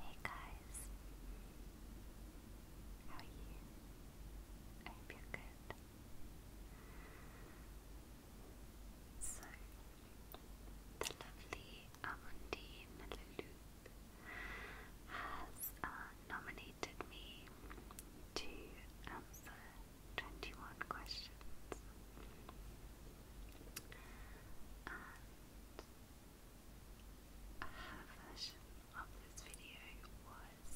Hey guys, how are you? I hope you're good. So, the lovely Amundine Lulu has uh, nominated me to answer 21 questions. her version of this video was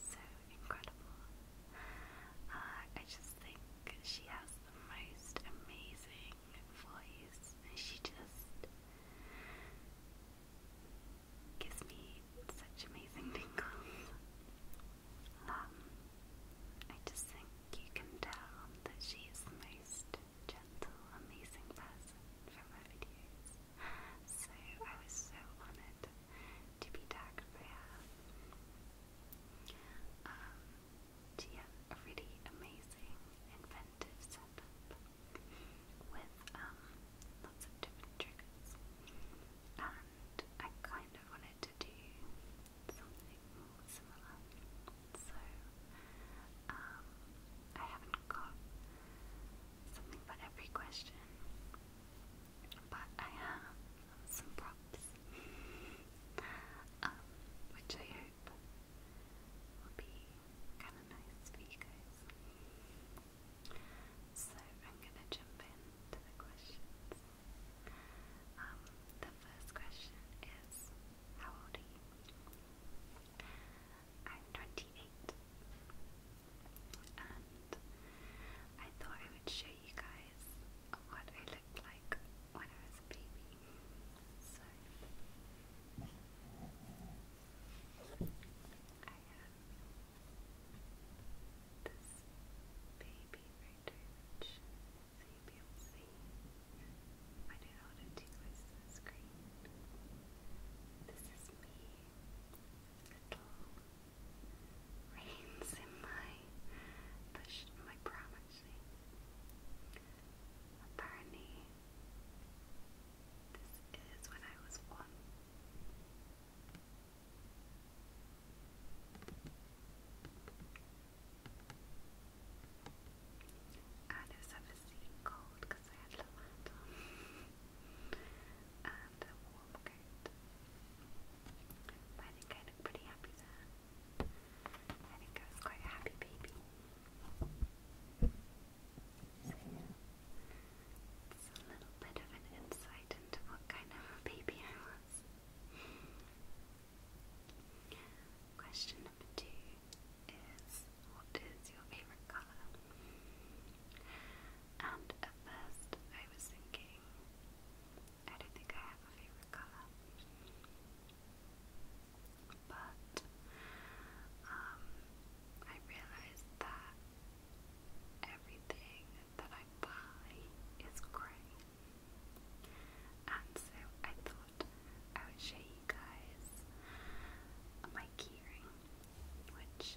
so incredible. Uh, I just think she has the most amazing voice, and she just gives me such amazing tingles. Um, I just think you can tell that she is the most gentle, amazing person from her videos. So I was so honoured to be tagged by her. Um, to a really amazing, inventive setup with um, lots of different triggers. And I kind of wanted to do something similar, so um, I haven't got something for every question. But I have some props, um, which I hope will be kind of nice for you guys. So I'm gonna jump into the questions. Um, the first question is, how old are you? I'm 28, and I thought I would show you guys what I looked like when I was a baby. So this baby right here, which is able to see. I know how to do this to This is me, little reins in my push, my prom Apparently, this is when I was one. And it was obviously cold because I had a warm coat. But I think I look pretty happy there. I think I was quite a happy baby. So a little bit of an insight into what kind of a baby I was. Question number two is, what is your favorite color? And at first I was thinking, I don't think I have a favorite color. But um, I realized that everything that I buy is grey. And so I thought I would show you guys my keyring, which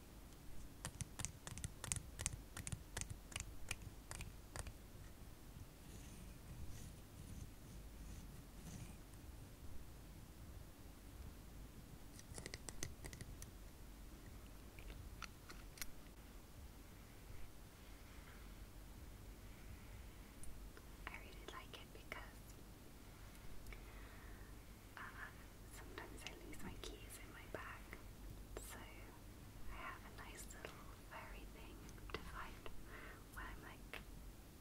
I really like it because uh, sometimes I lose my keys in my bag, so I have a nice little fairy thing to find when I'm like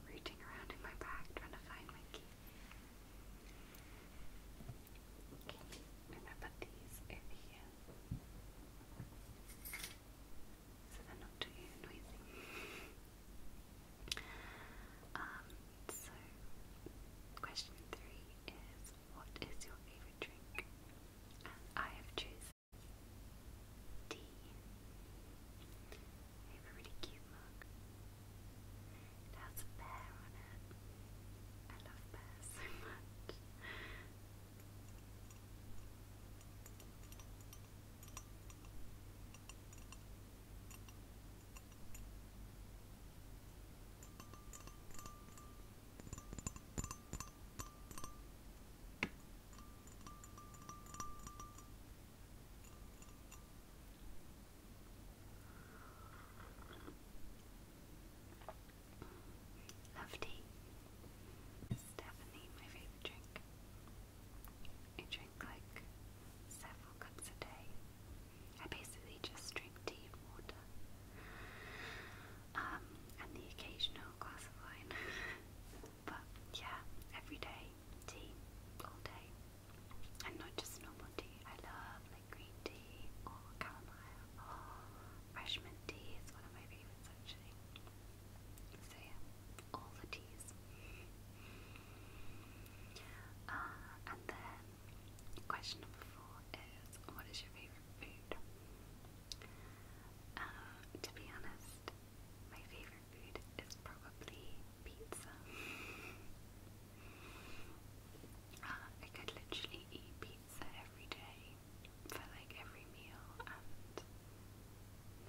rooting around in my bag trying to find my key. Okay, I'm gonna put these here so they're not too noisy. Um, so, question three is what is your favourite drink? And I have chosen tea. really cute mug. It has a pear on it. I love pears so much. Love tea. It's my favorite drink. I drink like several cups a day. I basically just drink tea and water. Um, and the occasional glass of wine. but yeah, every day, tea, all day. And not just normal tea. I love like green tea or chamomile or fresh mint tea is one of my favourites actually. So yeah, all the teas. Uh, and then question number four is what is your favourite food? Uh, to be honest, my favourite food is probably pizza. Uh, I could literally eat pizza every day for like every meal and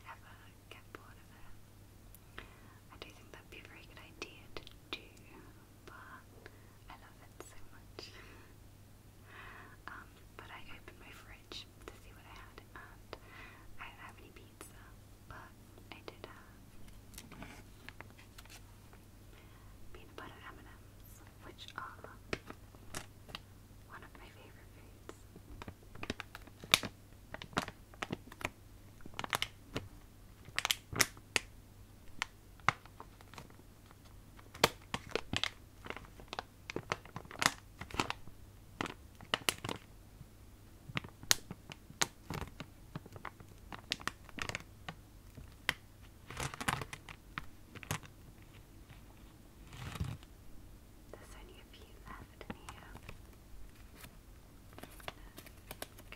never get bored of it. I do think that'd be a very good idea to do, but I love it so much. Um, but I opened my fridge to see what I had, and I didn't have any pizza, but I did have peanut butter M&Ms, which are one of my favorite foods. There's only a few left here.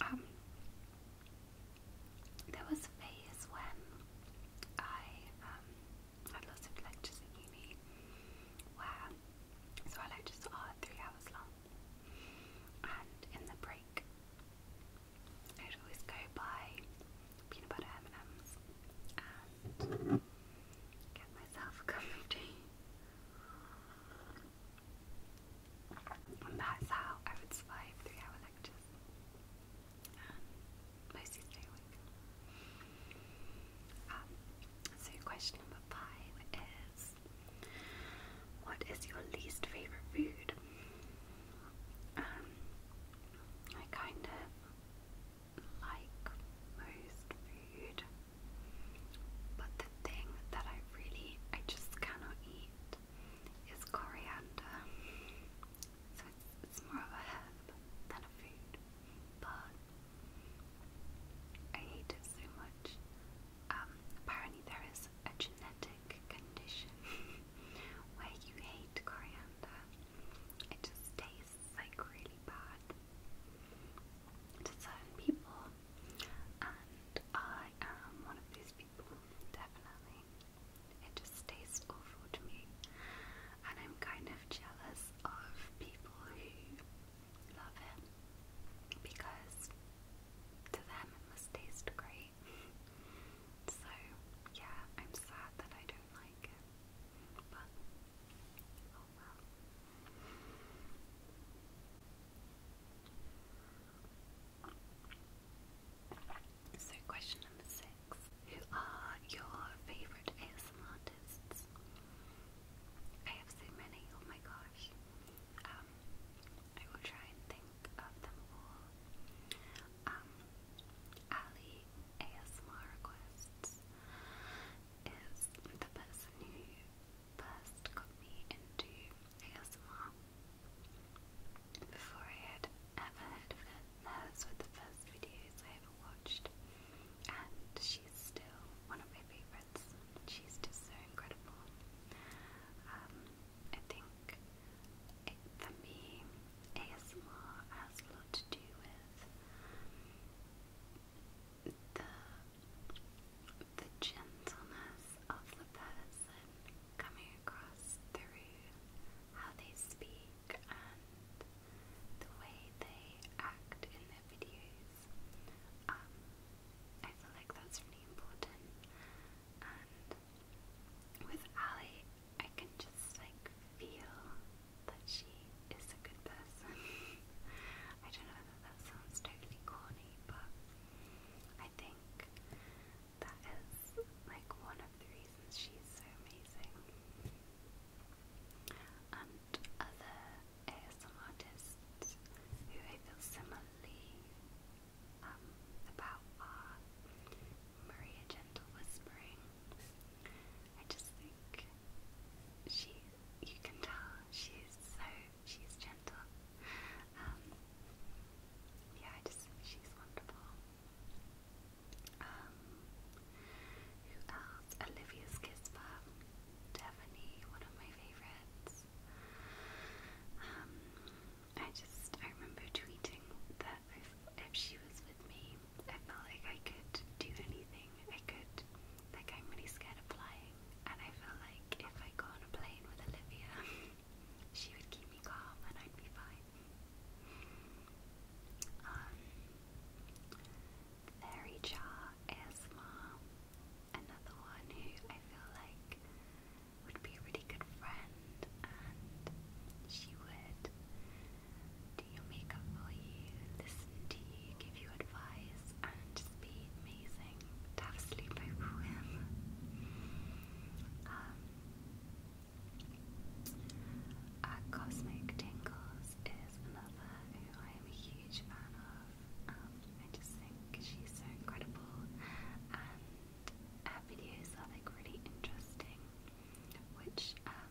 Um, there was a phase when I um, had lots of lectures in uni where, so our lectures are three hours long, and in the break, I'd always go buy peanut butter M&Ms and get myself a cup of tea that's how I would survive three hour lectures. Um, mostly stay awake. Um, so, question number five is What is your least favourite food? Um, I kind of like most food, but thing that I really, I just cannot eat is coriander. So it's, more of a herb than a food, but I hate it so much. Um, apparently there is a genetic condition where you hate coriander. It just tastes like really bad. To certain people, and I am one of these people, definitely. It just tastes awful to me, and I'm kind of jealous of people who love it because to them it must taste great. so, yeah, I'm sad that I don't like it, but oh well. So, question number six Who are your favourite ASM artists? I have so many, oh my gosh. Um, I will try and think of them all. Um, Ali ASMR Requests is the person who first got into ASMR. Before I had ever heard of it, hers were the first videos I ever watched, and she's still one of my favourites. She's just so incredible. Um, I think for me, ASMR has a lot to do with the the gentleness of the person coming across through how they speak and the way they act in their videos. Um, I feel like that's really important. And with Ali, I can just like feel that she is a good person. I don't know that that sounds totally corny, but I think that is like one of the reasons she's so amazing. And other ASM artists who I feel similarly um, about are Maria Gentle Whispering. I just think she, you can tell she's so she's gentle. Um, yeah, I just she's wonderful. Um, who else? Olivia's Kispa, Devaney, one of my favorites. Um, I just I remember tweeting that if she was with me, I felt like I could do anything. I could like I'm really scared of flying and I feel like if I go on a plane with Olivia, she would keep me calm and I'd be fine. Fairy um, Jar ASMR, another one who I feel like would be a really good friend and she would do your makeup for you, listen to you, give you advice, and be amazing have sleep over um, uh, Cosmic Tingles is another who I am a huge fan of. Um, I just think she's so incredible, and her videos are like really interesting, which um,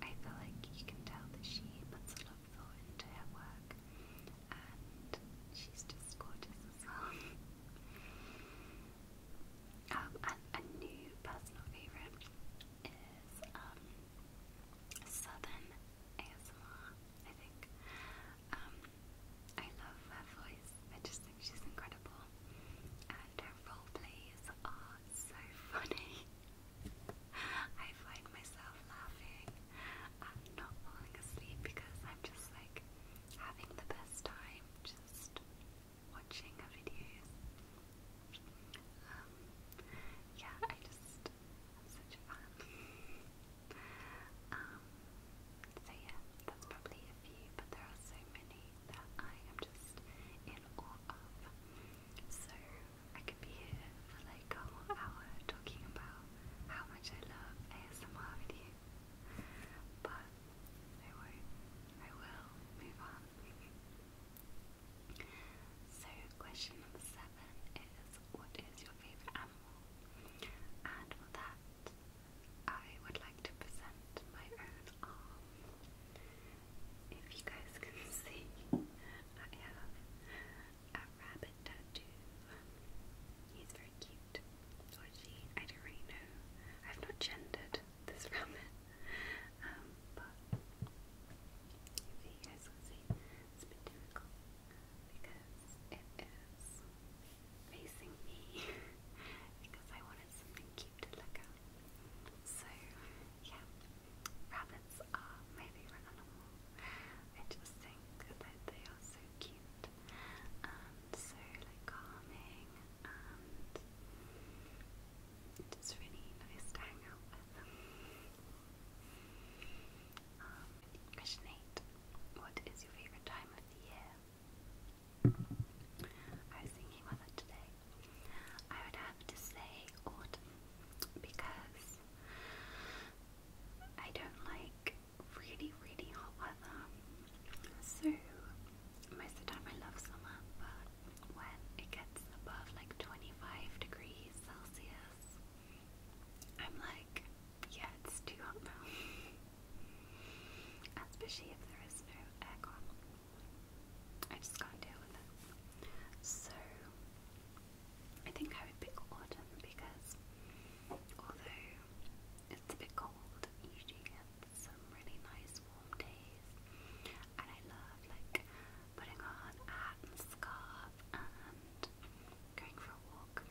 I feel like you can tell that she puts a lot of thought into her work she's just gorgeous as well. Um, a new personal favourite is um, Southern ASMR, I think. Um, I love her voice, I just think she's incredible. And her role plays are so funny. I find myself laughing. I'm not falling asleep because I'm just like having the best time just watching videos. yeah, I just, such a fan. Um, yeah, that's probably a few, but there are so many that I am just in awe of. So I could be here for like a whole hour talking about how much I love ASMR videos, but I I will move on. So, question number seven is What is your favourite animal? And for that, I would like to present my own arm. If you guys can see, I have a rabbit tattoo. He's very cute. Or I don't really know. I've not gendered this rabbit. Um, but you guys can see, it's a bit difficult because it is facing me because I wanted something cute to look at. So, yeah, rabbits are maybe favorite animal. I just think they are so cute and um, so like calming and it's really nice to hang out with. Um, question 8. What is your favourite time of the year? I was thinking about today. I would have to say autumn because I don't like really, really hot weather. So, most of the time I love summer, but when it gets above like 25 degrees Celsius, I'm like, yeah, it's too hot now. Especially if there is no aircon. I just can't deal with it. So, I think I would pick autumn because although it's a bit cold, usually you get some really nice warm days. And I love like putting on a hat and scarf and going for a walk.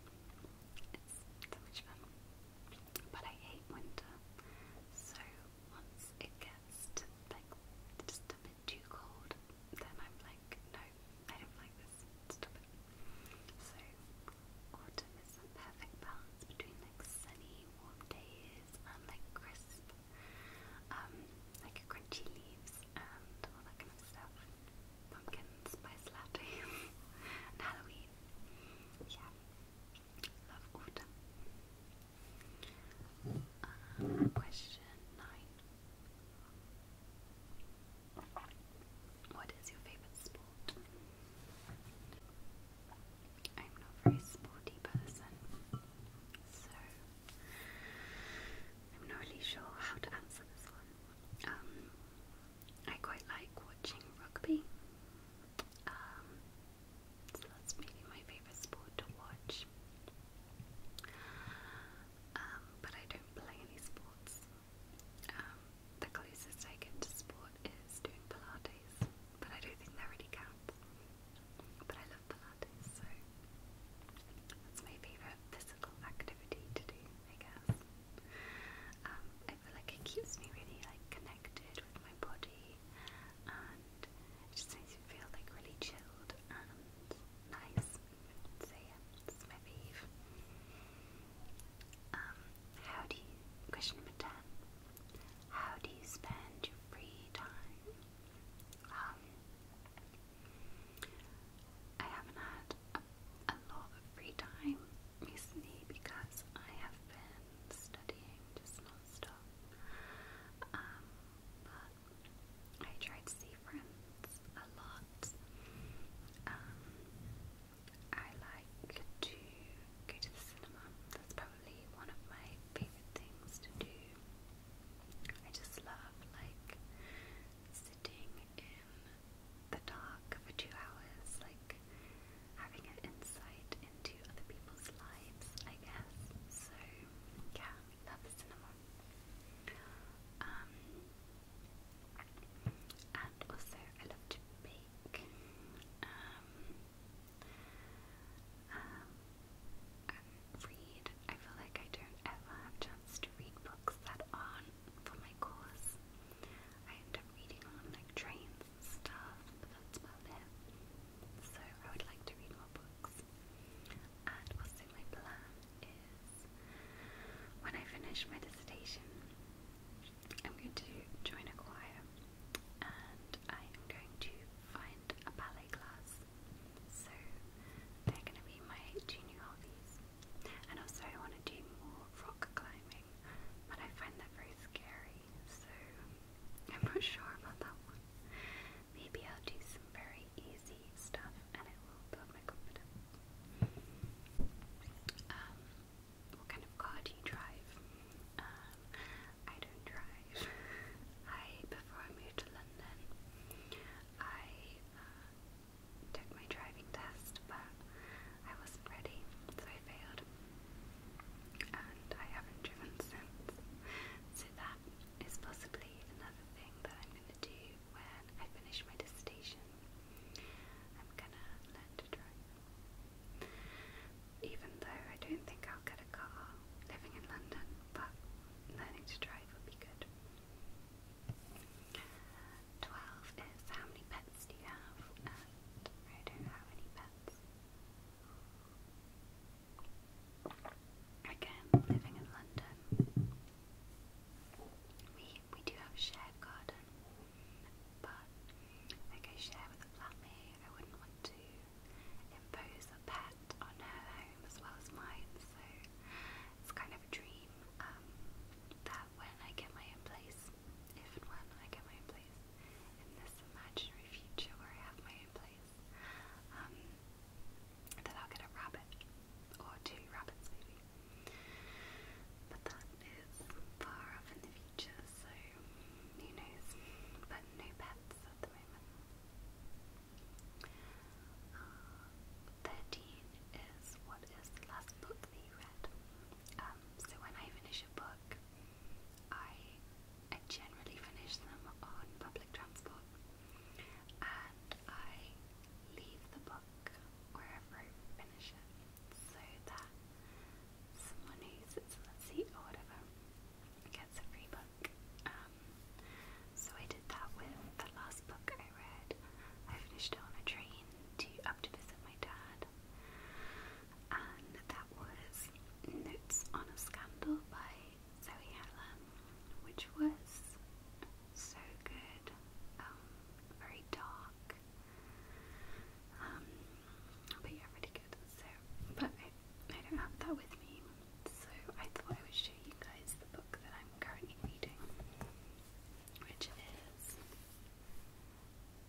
It's so much fun. But I hate winter. So once it gets like just a bit too cold, then I'm like, no, I don't like this. Stop So autumn is a perfect balance between like sunny, warm days and like crisp, um, like crunchy leaves and all that kind of stuff. Pumpkin spice latte Halloween. Yeah. Love autumn. Uh, question nine. What is your favorite sport? I'm not very sporty person, so I'm not really sure how to answer this one. Um, I quite like watching rugby. Um, so that's really my favorite sport to watch. Um, but I don't play any sports. Um, the closest I get to sport is doing Pilates, but I don't think that really counts. But I love Pilates, so that's my favourite physical activity to do, I guess. Um, I feel like it keeps me really like connected with my body, and it just makes me feel like really chilled and nice. So yeah, my fave. Um, how do you question number ten? How do you spend your free time? Um, I haven't had a, lot of free time recently because I have been studying just non Um, but I try to see friends a lot. Um, I like to go to the cinema. That's probably one of my favorite things to do. I just love like sitting in the dark for two hours, like having an insight into other people's lives, I guess. So yeah, love the cinema. Um, and also I love to bake. Um, um, read. I feel like I don't ever have chance to read books that aren't for my course. I end up reading on like trains stuff, but that's about it. So I would like to read more books. And also my plan is when I finish my dissertation, I'm going to join a choir and I am going to find a ballet class. So they're going to be my two new hobbies. And also, I want to do more rock climbing, but I find that very scary, so I'm not sure about that one. Maybe I'll do some very easy stuff and it will build my confidence. Um, what kind of car do you drive? Um, I don't drive. I before I moved to London, I uh, took my driving test, but I wasn't ready, so I failed, and I haven't driven since. So that is possibly another thing that I'm going to do when I finish my dissertation. I'm gonna learn to drive. Even though I don't think I'll get a car living in London, but learning to drive would be good. 12 is how many pets do you have? I don't have any pets. Again, living in London, we we do have a shared garden, but like I share with a flatmate, I wouldn't want to impose a pet on her home as well as mine, so it's kind of a dream um, that when I get my own place, if when I get my own place, in this imaginary future where I have my own place, um, then I'll get a rabbit, or two rabbits maybe. But that is far off in the future, so who knows? But no pets at the moment. Uh, 13 is what is the last book that read. Um, so when I finish a book, I, I generally finish them on public transport and I leave the book wherever I finish it so that someone who sits in the seat or whatever gets a free book. Um, so I did that with the last book I read. I finished it on a train to up to visit my dad. And that was Notes on a Scandal by Zoe Helen, which was so good, um, very dark, um, but yeah, really good, so, but I, don't have that with me, so I thought I would show you guys the book that I'm currently reading, which is,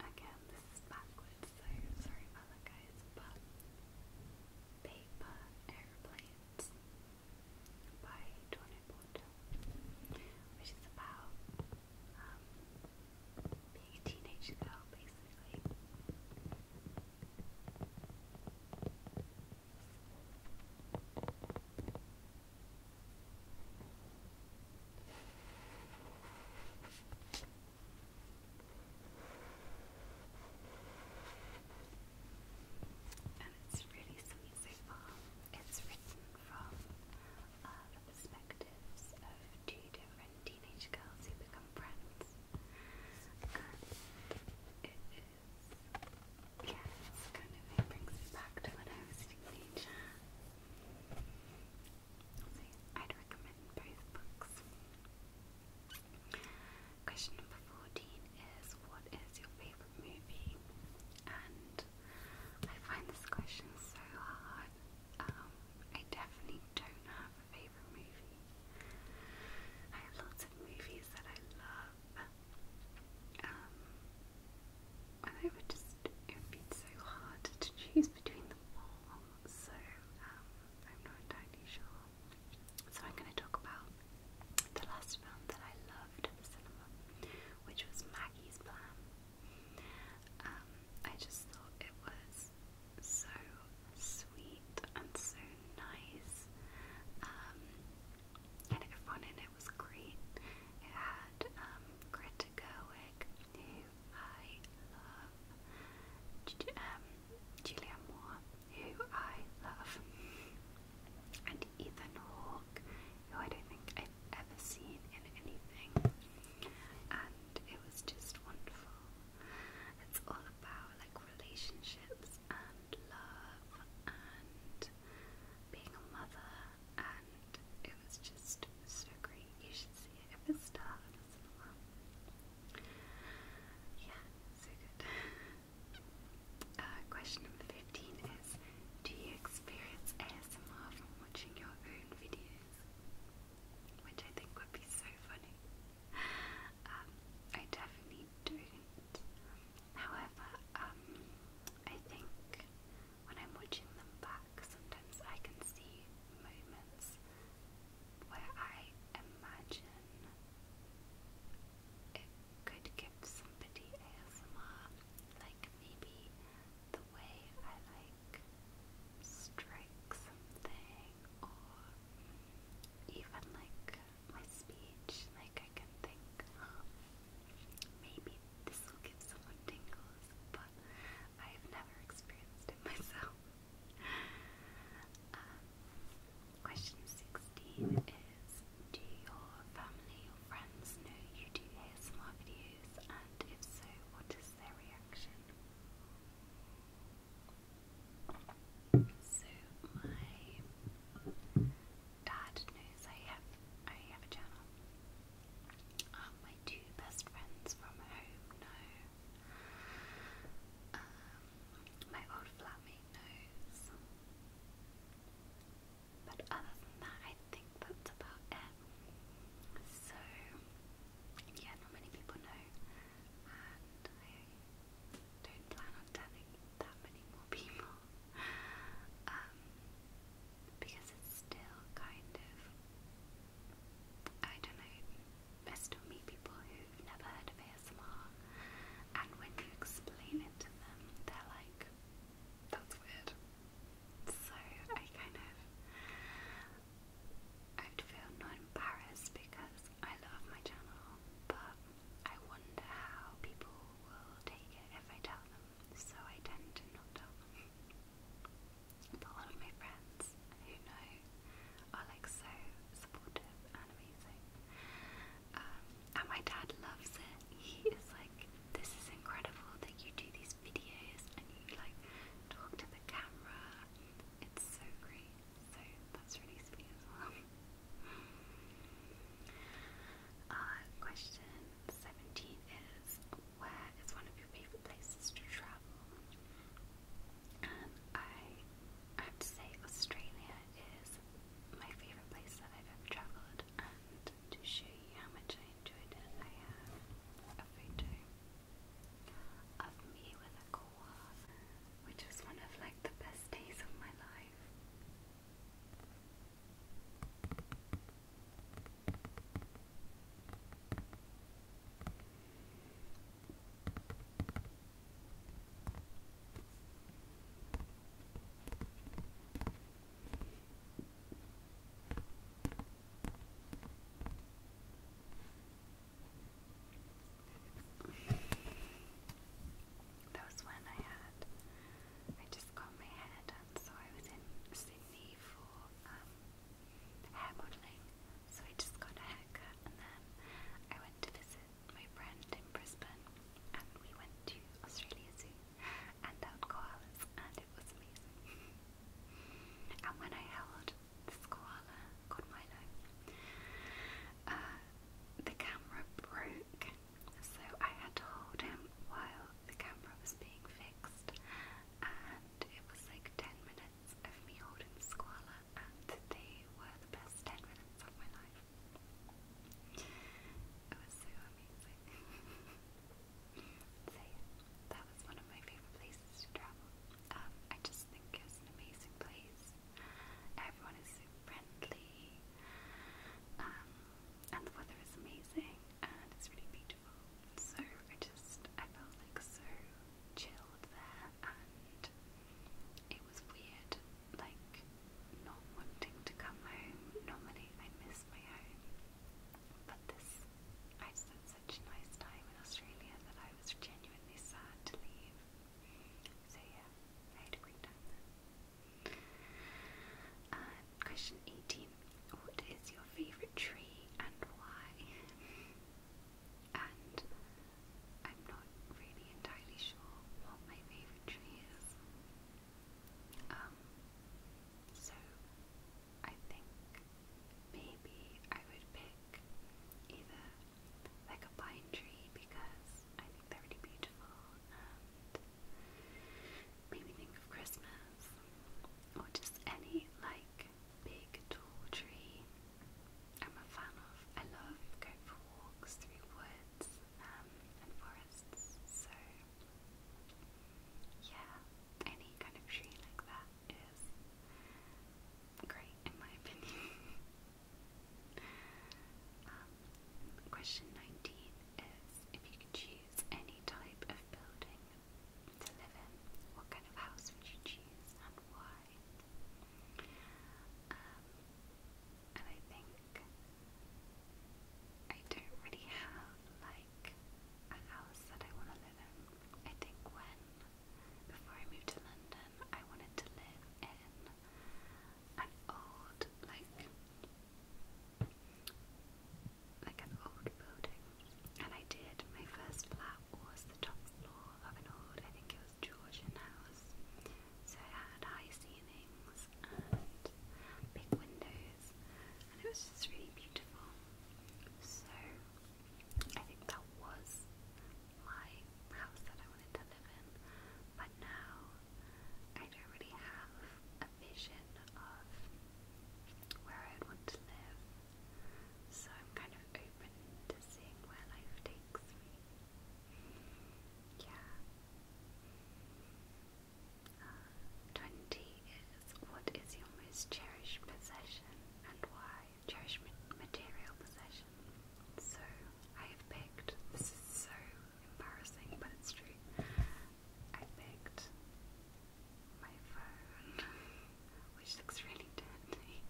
again, this backwards, so sorry about that guys, but Paper Airplanes by Tony which is about um, being a teenage girl basically. And it's really sweet so far. It's written from uh, the perspectives of two different teenage girls who become friends. it is, yeah, it's kind of, brings me back to when I was a teenager. So I'd recommend both books. Question number 14 is What is your favourite movie? And I find this question so hard. Um, I definitely don't have a favourite movie. I have lots of movies that I love. Um, and I would just, it would be so hard to choose between them all. So, um, I'm not entirely sure. So, I'm going to talk about the last film that I loved at the cinema, which was Maggie's Plan. Um, I just thought it was so sweet and so nice, um, and everyone in it was great. It had um, Greta Gerwig, who I love, G um, Julia Moore, who I love, and Ethan Hawke, who I don't think I've ever seen in anything, and it was just wonderful. It's all about like relationships and love and being a mother, and it was just so great. You should see it if it starts. Yeah, so good. Uh, question number 15 is Do you experience ASMR from watching your own videos? Which I think would be so funny. Um, I definitely don't. However, um, I think when I'm watching them back, sometimes I can see moments where I imagine it could give somebody ASMR, like maybe the way I like strike something, or even like my speech, like I can think, maybe this will give someone tingles, but I've never experienced it myself. Um, Question 16 is Do your family or friends know you do ASMR videos? And if so, what is their reaction? So, my dad knows I have, I have a channel. Um, my two best friends from home know. Um, my old flatmate knows. But other than that, I think that's about it. So, yeah, not many people know, and I don't plan on telling that many more people um, because it's still kind of, I don't know, I still meet people who've never heard of ASMR and when you explain it to them, they're like, that's weird. So I kind of I feel not embarrassed because I love my channel, but I wonder how people will take it if I tell them. So I tend to not tell them. But all of my friends who know are like so supportive and amazing. Um, and my dad loves it. He is like, this is incredible that you do these videos and you like talk to the camera. It's so great. So that's really sweet as well. Uh, question 17 is Where is one of your favourite places to travel? And I have to say, Australia is my favourite place that I've ever travelled, and to show you how much I enjoyed it, I have a photo of me with a koala, which was one of like the best days of my life. That was when I had, I just got my hair done, so I was in Sydney for um, hair modelling. So I just got a haircut and then I went to visit my friend in Brisbane, and we went to Australia Zoo and out koalas, and it was amazing. and when I held this koala called Milo, uh, the camera broke, so I had to hold him while the camera was being fixed, and it was like 10 minutes of me holding this koala, and they were the best 10 minutes of my life. It was so amazing. so that was one of my favorite places to travel. Um, I just think it's an amazing place. Everyone is so friendly. Um, and the weather is amazing and it's really beautiful. So I just I felt like so chilled there and it was weird like not wanting to come home. Normally I miss my home, but this I just such a nice time in Australia that I was genuinely sad to leave. So yeah, I a great time uh, question 18. What is your favourite tree and why? And I'm not really entirely sure what my favourite tree is. Um, so I think maybe I would pick either like a pine tree because I think they're really beautiful and maybe think of Christmas or just any like big tall tree. I'm a fan of. I love going for walks through woods forests. So, yeah, any kind of tree like that is great in my opinion. Um, question 19 is if you could choose any type of building to live in, what kind of house would you choose and why? Um, and I think I don't really have like a house that I want to live in. I think when before I moved to London, I wanted to live in an old like like an old building, and I did. My first flat was the top floor of an old, I think it was Georgian house, so it had high ceilings and big windows, and it was just really beautiful. So I think that was my house that I wanted to live in, but now I don't really have a vision of where I'd want to live, so I'm kind of open to seeing where life takes me. Yeah. Uh, 20 is what is your most cherished possession and why? Cherished material possession. So I have picked, this is so embarrassing, but it's true. I picked my phone, which looks really dirty.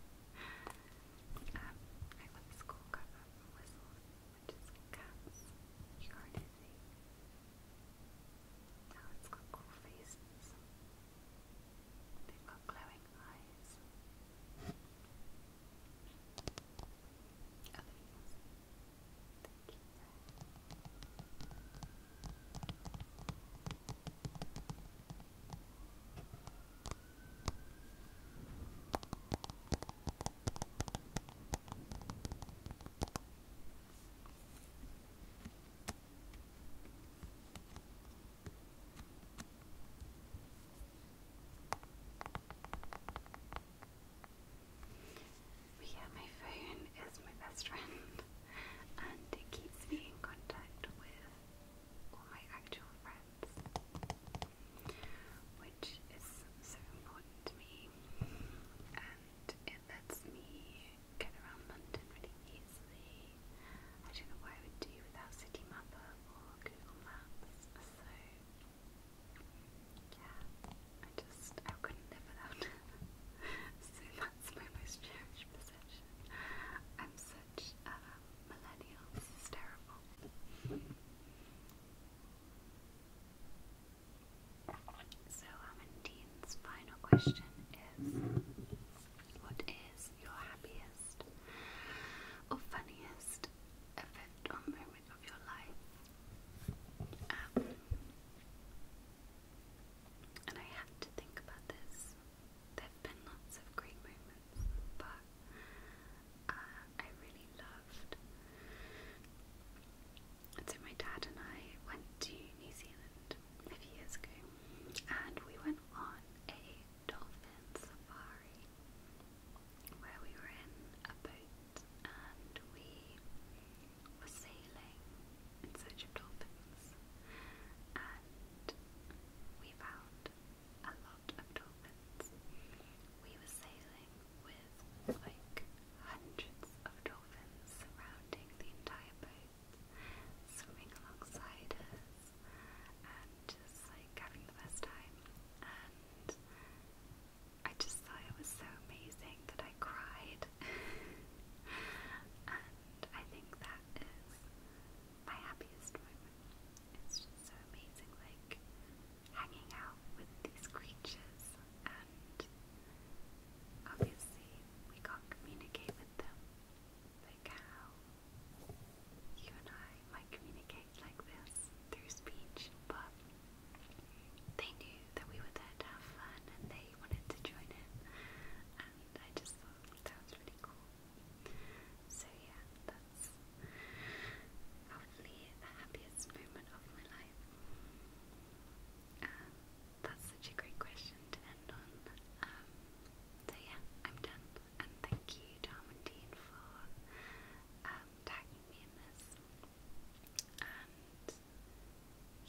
Um, I got the school cover from Whistle which is cats, you are dizzy. Now it's got cool faces. They've got glowing eyes. Other things. Thank you. But yeah, my phone is my best friend, and it keeps me in contact with all my actual friends which is so important to me, and it lets me get around London really easily. I don't know what I would do without City or Google Maps, so yeah, I just I couldn't live without so that's my most cherished possession. I'm such a millennial, it's terrible. So, Amandeen's final question is What is your happiest or funniest event or moment of your life? Um, and I had to think about this. There have been lots of great moments, but uh, I really loved. And so my dad and I went to New Zealand a few years ago, and we went on a dolphin safari where we were in a boat and we were sailing in search of dolphins, and we found a lot of dolphins. We were sailing with like hundreds of dolphins surrounding the entire boat, swimming alongside us, and just like having the best time. And I just thought it was so amazing that I cried. and I think that is my happiest moment. It's just so amazing, like hanging out with these creatures, and obviously we can't communicate with them. Like how you and I might communicate like this through speech, but they knew that we were there to have fun and they wanted to join in, and I just thought that was really cool. So yeah, that's probably the happiest moment of my life. Um, that's such a great question to end on. Um, so yeah, I'm done. And thank you, Tom and Dean, for um, tagging me in this. And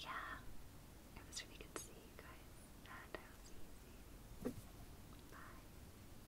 yeah, it was really good to see you guys. And I will see you soon. Bye.